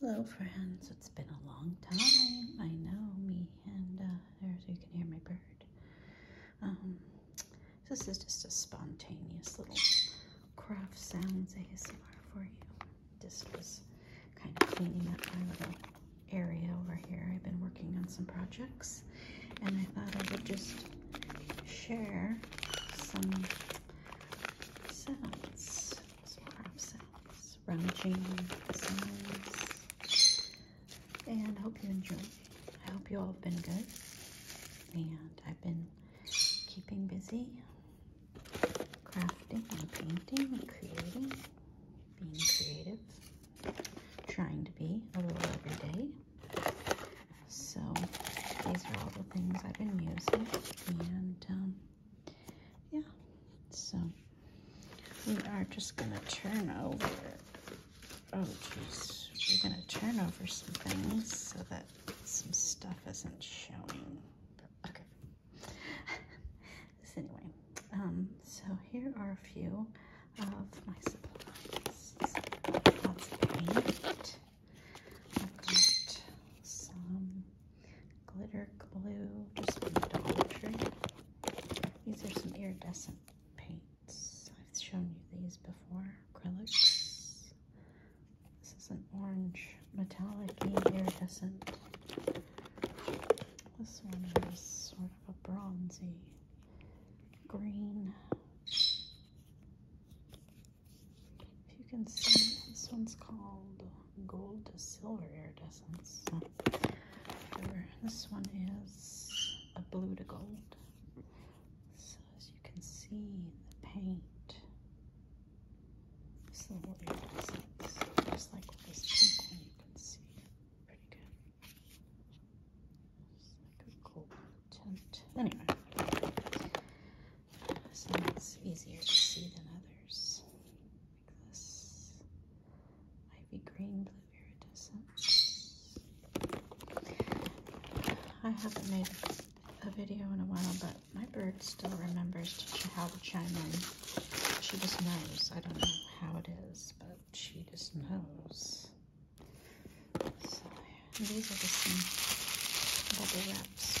Hello, friends. It's been a long time. I know me and uh, there's you can hear my bird. Um, this is just a spontaneous little craft sounds ASMR for you. This was kind of cleaning up my little area over here. I've been working on some projects, and I thought I would just share some sounds some crop sets, rummaging and I hope you enjoyed. I hope you all have been good, and I've been keeping busy crafting and painting and creating, being creative, trying to be a little every day. So these are all the things I've been using, and um, yeah, so we are just gonna turn over. Oh, jeez, we're gonna turn over some things so that some stuff isn't showing. Okay. anyway, um, so here are a few of my supplies got some glitter glue just from the Dollar Tree. These are some iridescent paints. I've shown you these before. Acrylics. This is an orange metallic iridescent. This one is sort of a bronzy green. If you can see, this one's called Gold to Silver Iridescence. This one is a blue to gold. So as you can see, the paint is a little iridescence, just like this you can see. Pretty good. It's like a gold tint. Anyway, some it's easier to see than others. Like this ivy green, blue iridescent. I haven't made a video in a while, but my bird still remembers to how to chime in. She just knows. I don't know how it is, but she just knows. So these are the same bubble wraps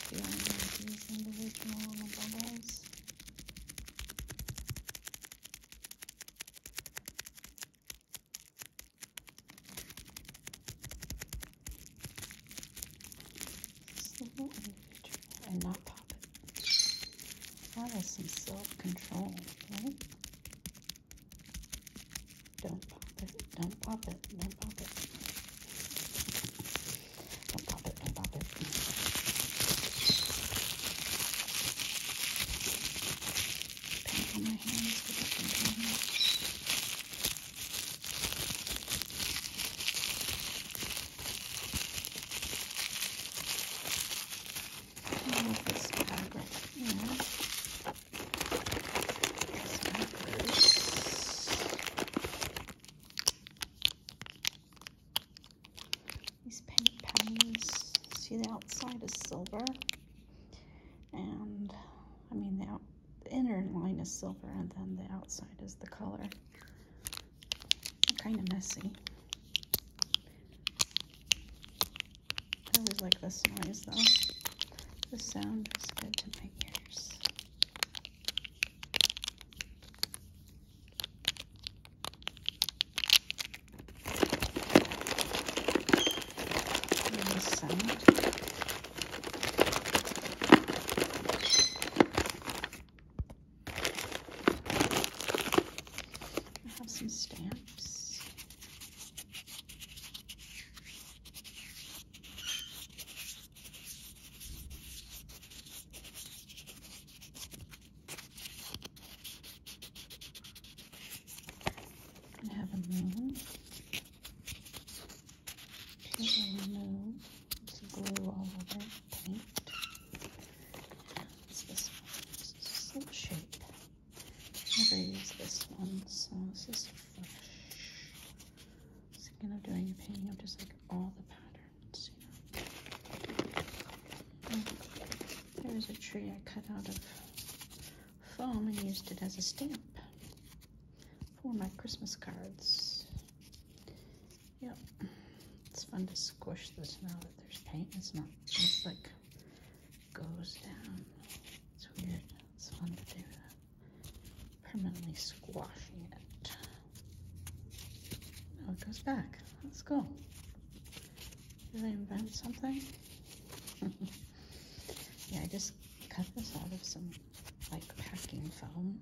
between these individual bubbles. Little individual and not pop That is some self-control, right? Don't pop it. Don't pop it. Don't pop it. Don't pop it. Don't pop it. Paint on my hands. I love this fabric. You know, these paint pens, see the outside is silver. And I mean the, inner line is silver and then the outside is the color. kind of messy. I always like this noise though. The sound is good to make figures. I have some stamps. I have a moon. Pure moon. It's blue all over paint. It's this one. It's a shape. I'm Never use this one, so this is fresh. Thinking of doing a painting of just like all the patterns, There's a tree I cut out of foam and used it as a stamp for my Christmas cards. Yep. It's fun to squish this now that there's paint. It's not just like goes down. It's weird. It's fun to do that. Permanently squashing it. Now oh, it goes back. Let's go. Did I invent something? yeah, I just cut this out of some like packing foam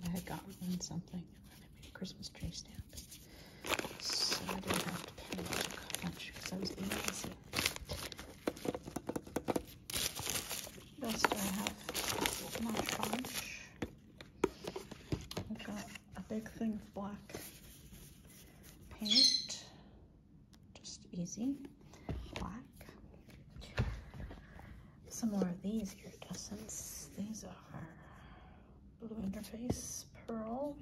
that I had gotten in something. Maybe a Christmas tree stamp. So I didn't have to pay much because I was being busy. Rest I have Nash Bunch. got a big thing of black paint, just easy, black. Some more of these iridescents. These are Blue Interface Pearl.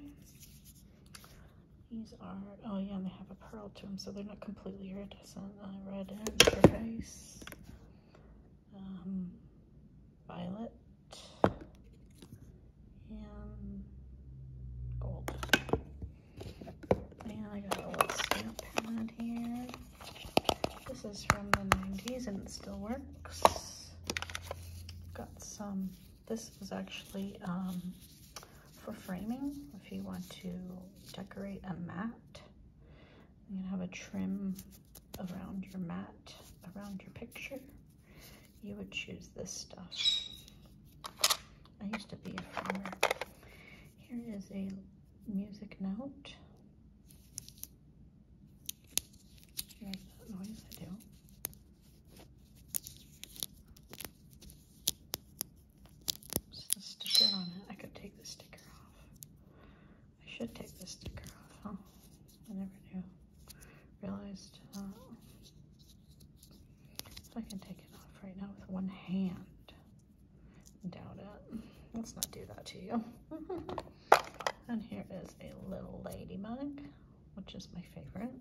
These are, oh yeah, and they have a pearl to them, so they're not completely iridescent. Uh, red and turquoise, um, violet, and gold. And I got a little stamp pad here. This is from the 90s and it still works. Got some this is actually um, for framing. If you want to decorate a mat, you can have a trim around your mat, around your picture. You would choose this stuff. I used to be a framer. Here is a music note. Here's that noise I do. What's sticker on it? I could take the sticker off. I should take the sticker off, huh? I never knew. Realized uh, I can take it off right now with one hand. Doubt it. Let's not do that to you. and here is a little ladybug, which is my favorite.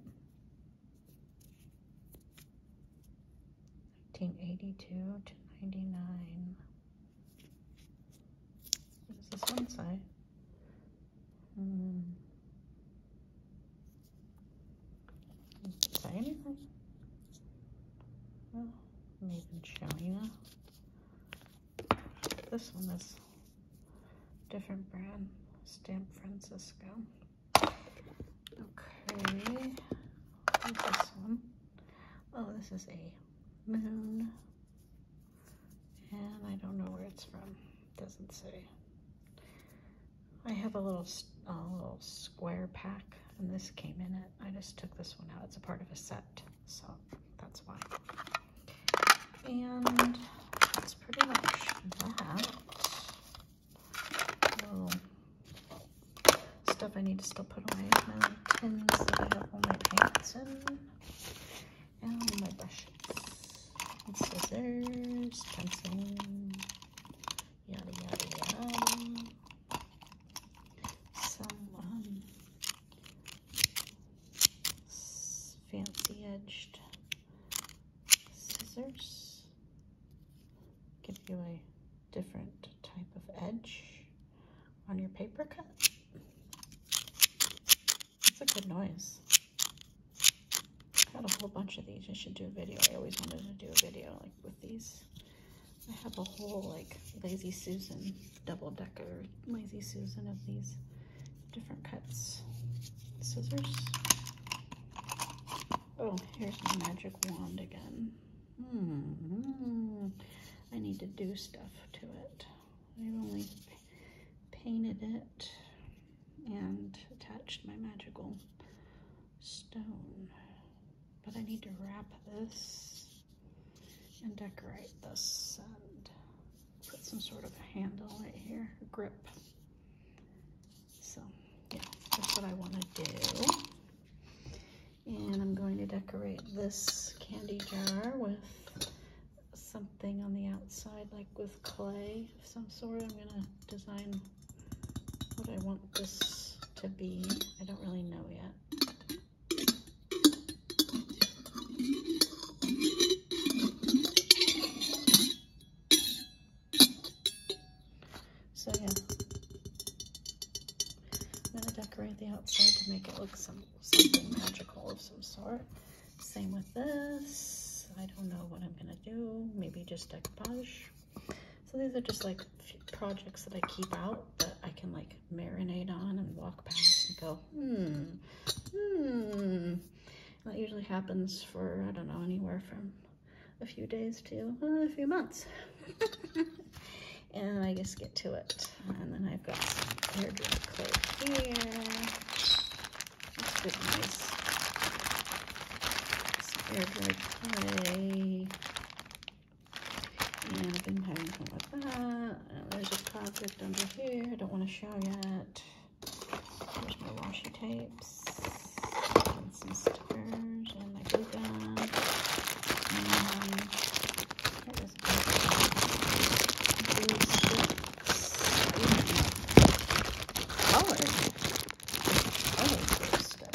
1982 to 99. What does this one say? Hmm. Say anything? Well, I'm even you. This one is different brand, Stamp Francisco. Okay, this one? Oh, this is a moon, and I don't know where it's from. doesn't say. I have a little, a little square pack, and this came in it. I just took this one out. It's a part of a set, so that's why. And that's pretty much that. stuff I need to still put away. My tins that I have all my paints in. And my brushes. scissors, pencil, yada yada yada. Some um, fancy edged scissors. Give you a different type of edge on your paper cut. It's a good noise. I got a whole bunch of these. I should do a video. I always wanted to do a video like with these. I have a whole like Lazy Susan double decker Lazy Susan of these different cuts. Scissors. Oh, here's my magic wand again. Hmm. I need to do stuff to it. i only painted it and attached my magical stone. But I need to wrap this and decorate this and put some sort of handle right here, grip. So yeah, that's what I want to do. And I'm going to decorate this candy jar with something on the outside, like with clay of some sort. I'm going to design what I want this to be. I don't really know yet. So yeah, I'm gonna decorate the outside to make it look some, something magical of some sort. Same with this. I don't know what I'm gonna do. Maybe just decoupage. So these are just like projects that I keep out that I can like marinate on and walk past and go, hmm, hmm. That usually happens for, I don't know, anywhere from a few days to uh, a few months. and I just get to it. And then I've got some hair dry clay here. That's pretty nice. air dry clay. And I've been having fun with that there's a project under here. I don't want to show yet. Here's my washi tapes and some stickers and my glue gun. And what um, is Colors. Colors of stuff.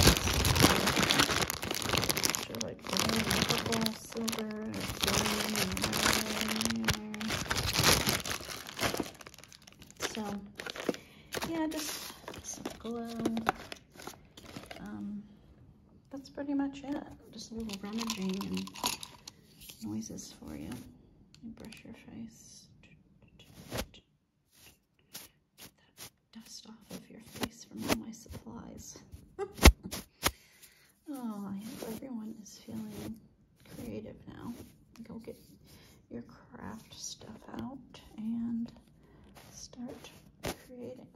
So like green and silver, So, yeah, just some glow. Um, that's pretty much it. Just a little rummaging and noises for you. you brush your face. dust off of your face from all my supplies. Oh, I hope everyone is feeling creative now. Go get your craft stuff out and start creating.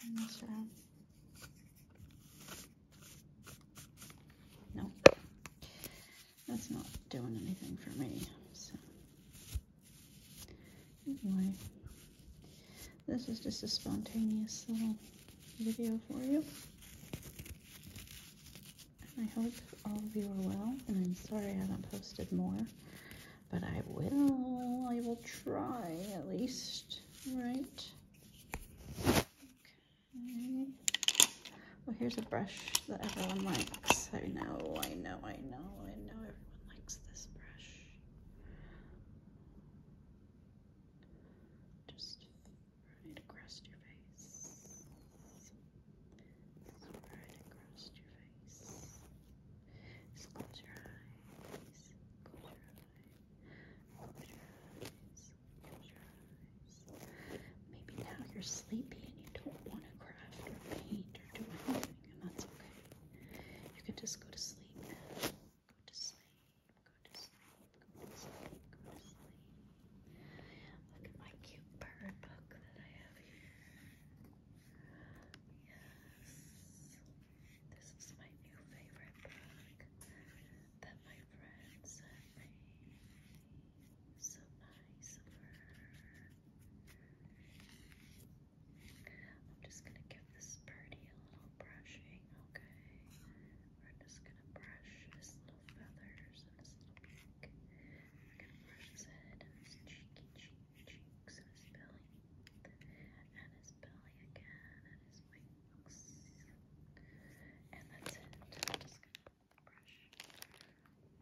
All No that's not doing anything for me. So anyway, this is just a spontaneous little video for you. I hope all of you are well, and I'm sorry I haven't posted more, but I will. I will try at least, right? Okay. Well, here's a brush that everyone likes. I know, I know, I know, I know everyone likes this brush. Just right across your face. right across your face. close your eyes. Close your eyes. Close your eyes. Close your eyes eyes. Maybe now you're sleepy and you don't want to craft or paint or do anything, and that's okay. You can just go to sleep now. Go to sleep, go to sleep, go to sleep, go to sleep. Look at my cute bird book that I have here. Yes. This is my new favorite book that my friend sent me. So nice I'm just gonna give this birdie a little brushing, okay? We're just gonna brush his little feathers and his little beak. We're gonna brush his head and his cheeky cheeks and his belly. And his belly again and his wings. And that's it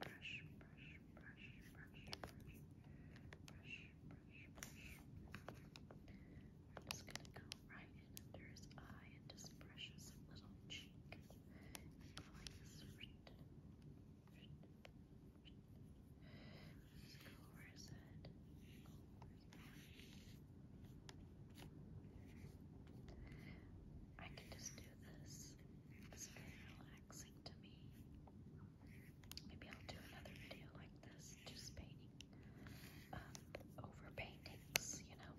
brush, brush, brush, brush, brush, brush, brush, brush, brush. I'm just gonna go right in under his eye and just brush his little cheek. Like this. Just go over his head. Go over his head. I can just do this. It's very relaxing to me. Maybe I'll do another video like this, just painting um, over paintings, you know.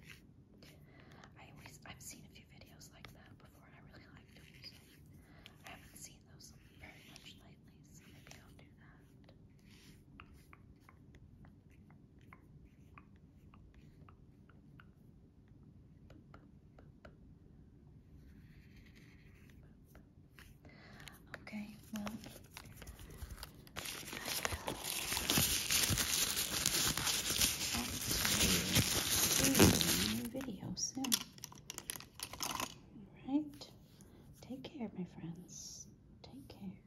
I always I've seen a few videos like that before and I really liked them, so I haven't seen those very much lately, so maybe I'll do that. Okay, well, I will actually do a new video soon. Alright, take care, my friends. Take care.